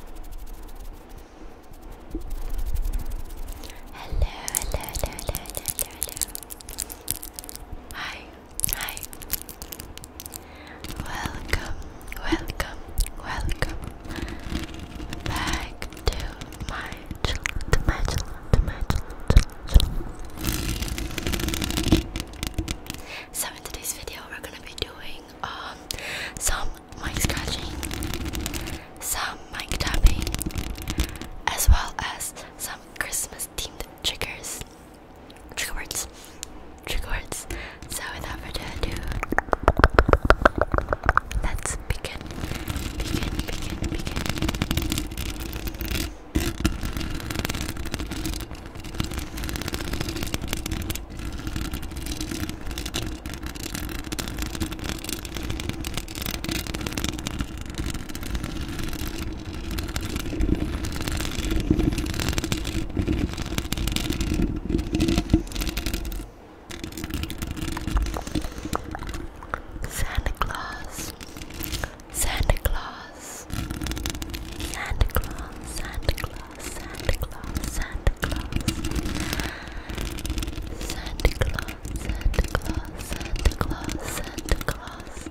hello, hello, hello, hello, hello. Hi, hi. Welcome, welcome, welcome back to my channel, my channel, my channel. So in today's video, we're gonna be doing um some some mic tapping, as well as some Christmas themed triggers, trigger words, trigger words. So without further ado, let's begin. Santa Claus, Santa Claus, Santa Claus, Santa Claus. Claus, Santa Claus, Santa Claus, Santa Claus, Santa Claus, Santa Claus, Santa Claus.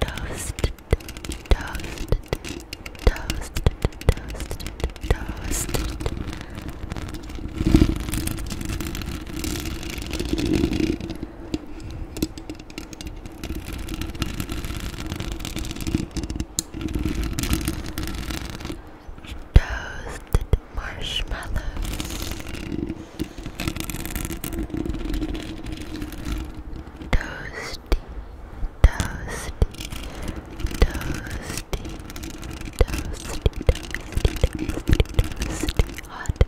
Toasted, toasted, toasted, toasted, toasted. Toasted marshmallows. Toasty, toasty, toasty, toasty, toasty, toasty, toasty, hot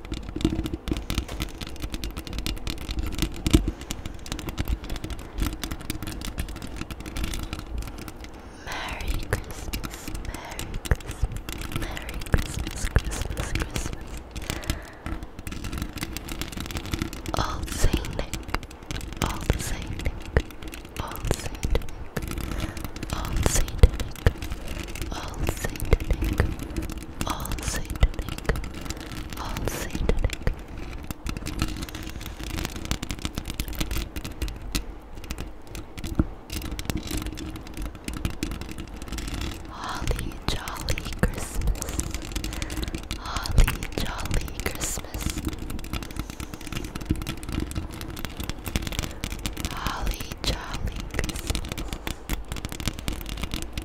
Merry Christmas, Merry Christmas, Merry Christmas, Christmas, Christmas. All Saint Nick, all Saint Nick, all Saint Nick, all Saint Nick, all Saint Nick, all satanic, all satanic. Holly Jolly Christmas, Holly Jolly Christmas, Holly Jolly Christmas.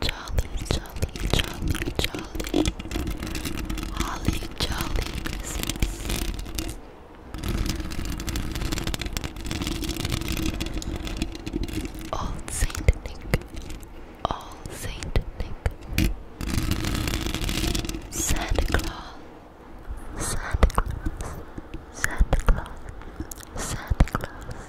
Jolly, jolly, jolly, jolly, holly, jolly Christmas. Old Saint Nick, Old Saint Nick, Santa Claus, Santa Claus, Santa Claus, Santa Claus,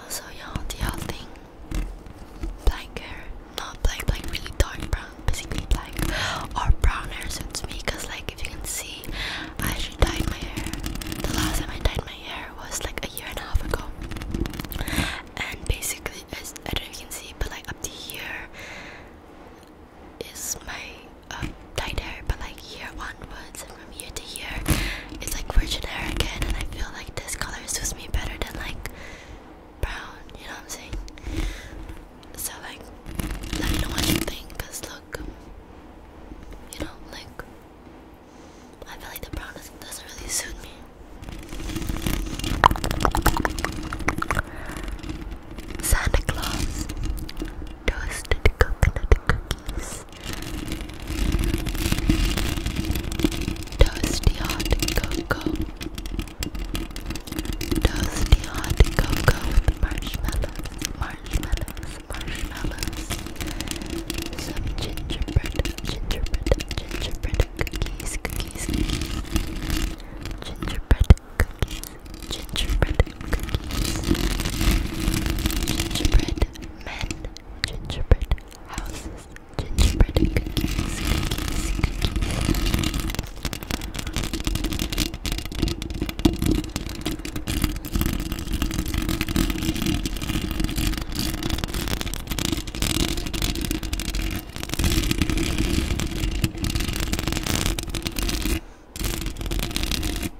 Also, y'all, the whole thing blacker, not black, like really dark brown, basically black or brown hair suits me. like if you can see, I actually dyed my hair. The last time I dyed my hair was like a year and a half ago, and basically, I don't know if you can see, but like up to here is my uh, tight hair, but like here onwards and from year to year, it's like virgin generic again, and I feel like this color suits me better than like brown. You know what I'm saying? So like, let me know what you think, cause look, you know, like I feel like the brown doesn't really suit me. Santa Claus, toasted coconut cookies, toasty hot cocoa, toasty hot cocoa marshmallows, marshmallows, marshmallows, some gingerbread, gingerbread, gingerbread cookies, cookies. gingerbread cookies gingerbread cookies, gingerbread men, gingerbread houses, gingerbread cookies, Dear guys, have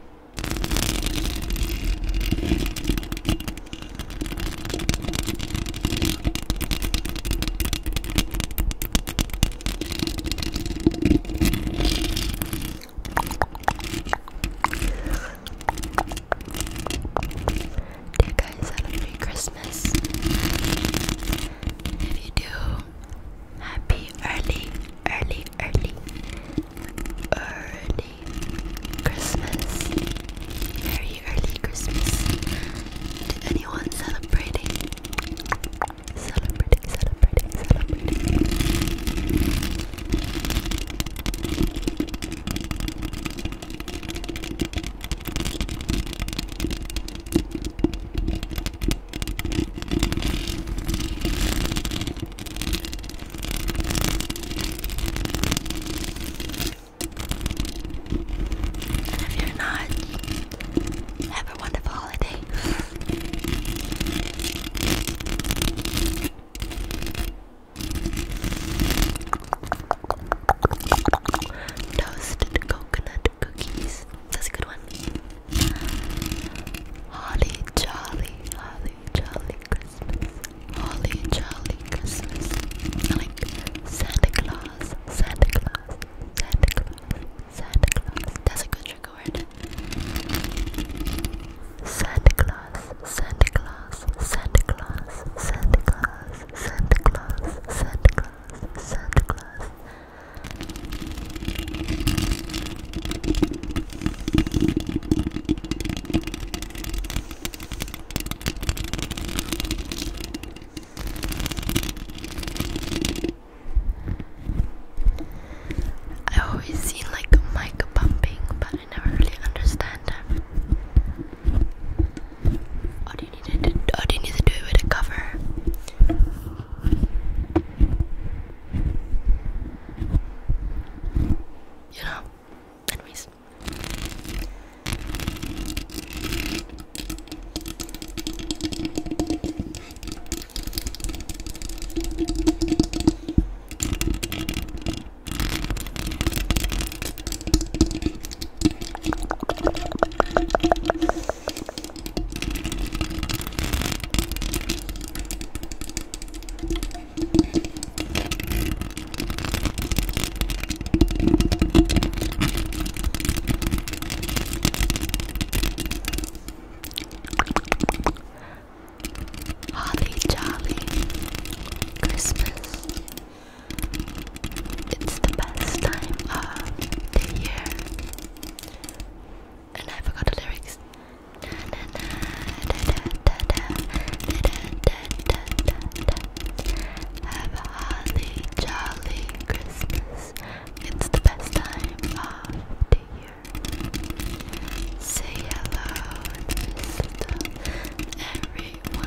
a Merry Christmas. you do, Happy early, early, early, early Christmas. Merry early Christmas to anyone celebrating. Celebrating, celebrating, celebrating. And if you're not, have a wonderful holiday. Toasted coconut cookies. That's a good one. Holly Jolly, Holly Jolly Christmas. Holly Jolly Christmas. like Santa Claus, Santa Claus, Santa Claus, Santa Claus. That's a good trick Santa Claus, Santa Claus, Santa Claus, Santa Claus, Santa Claus, Santa Claus. Santa Claus. I always see like mic bumping, but I never really understand that. I didn't do, need to do it with a cover? You know? Anyways. Holly Jolly Christmas. It's the best time of the year. And I forgot the lyrics. Have a holly jolly Christmas. It's the best time of the year. Say hello to everyone.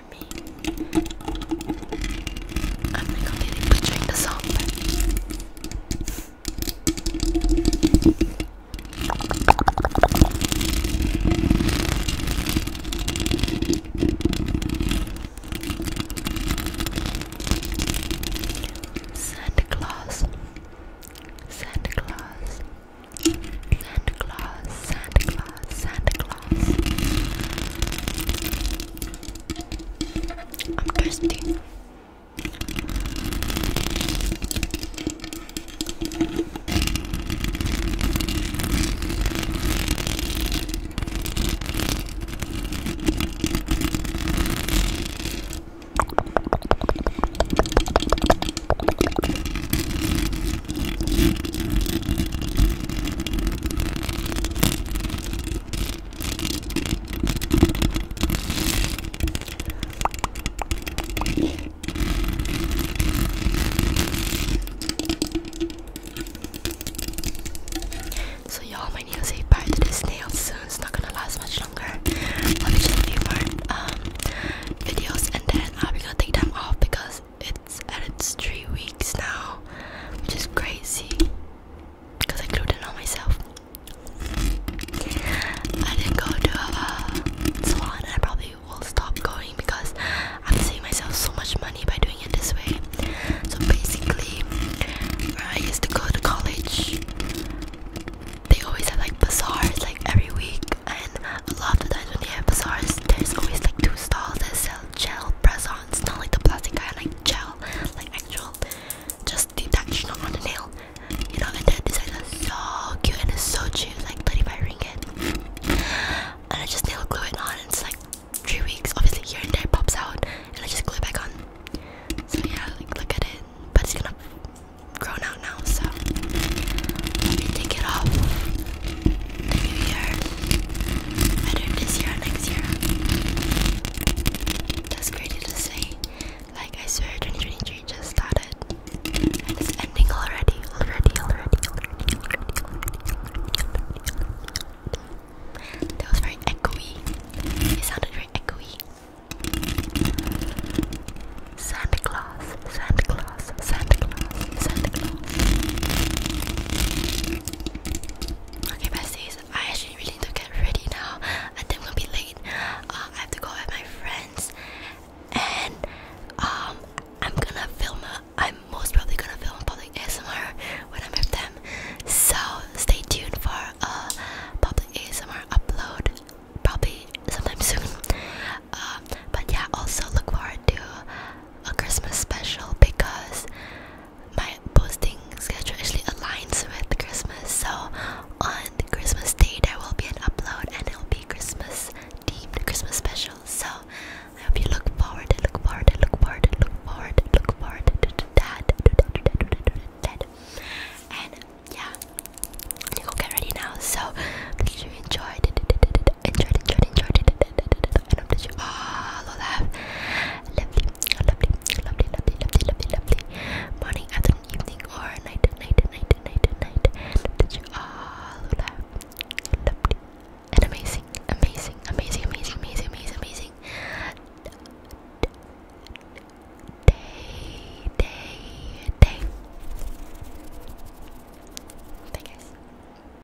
I'm completely butchering the song. Santa Claus, Santa Claus, Santa Claus, Santa Claus, Santa I'm thirsty. So y'all might need to save part to this nail soon. It's not gonna last much longer. I'll be just a few more um videos and then I'll be gonna take them off because it's at its three weeks now, which is crazy because I glued it on myself. I didn't go to a uh, salon, and I probably will stop going because I'm saving myself so much money by doing it this way. So basically, I used to go to college, they always have like bazaars like every week, and a lot of times when they have bazaars, there's always like two stalls that sell gel press on. It's not like the plastic kind, like gel, like actual, just detection on the nail. You know, and that design is so cute and it's so cheap, like 35 ringgit. And I just nail glue it on, and it's like three weeks. Obviously, here and there pops out, and I just glue back on. So yeah, like look at it, but it's gonna grow out now, so let me take it off new year, whether this year next year. That's crazy to say. Like I swear 2023 just started. it's ending already, already, already. That was very echoey. It sounded very echoey. Santa Claus, Santa Claus, Santa Claus, Santa Claus. Okay, besties, I actually really need to get ready now. I think I'm gonna be late. Uh, I have to go at my friends, and um, I'm gonna film. i I'm most probably gonna film public ASMR when I'm with them. So stay tuned for a public ASMR upload, probably sometime soon. Uh, but yeah, also look forward to a Christmas special because my posting schedule actually aligns with Christmas. So on Christmas Day, there will be an upload and it will be Christmas themed, Christmas special. So I hope you look forward, look forward, look forward, look forward, look forward to that, to that, to that, to that, to that. And yeah, you go get ready now. So make sure you enjoyed, enjoyed, enjoyed, enjoyed, enjoyed I hope that you all have a lovely, lovely, lovely, lovely, lovely, lovely, lovely morning, afternoon, evening, or night, night, night, night, night. I hope that you all will have lovely and amazing, amazing, amazing, amazing, amazing, amazing, amazing day, day, day. Thank you guys.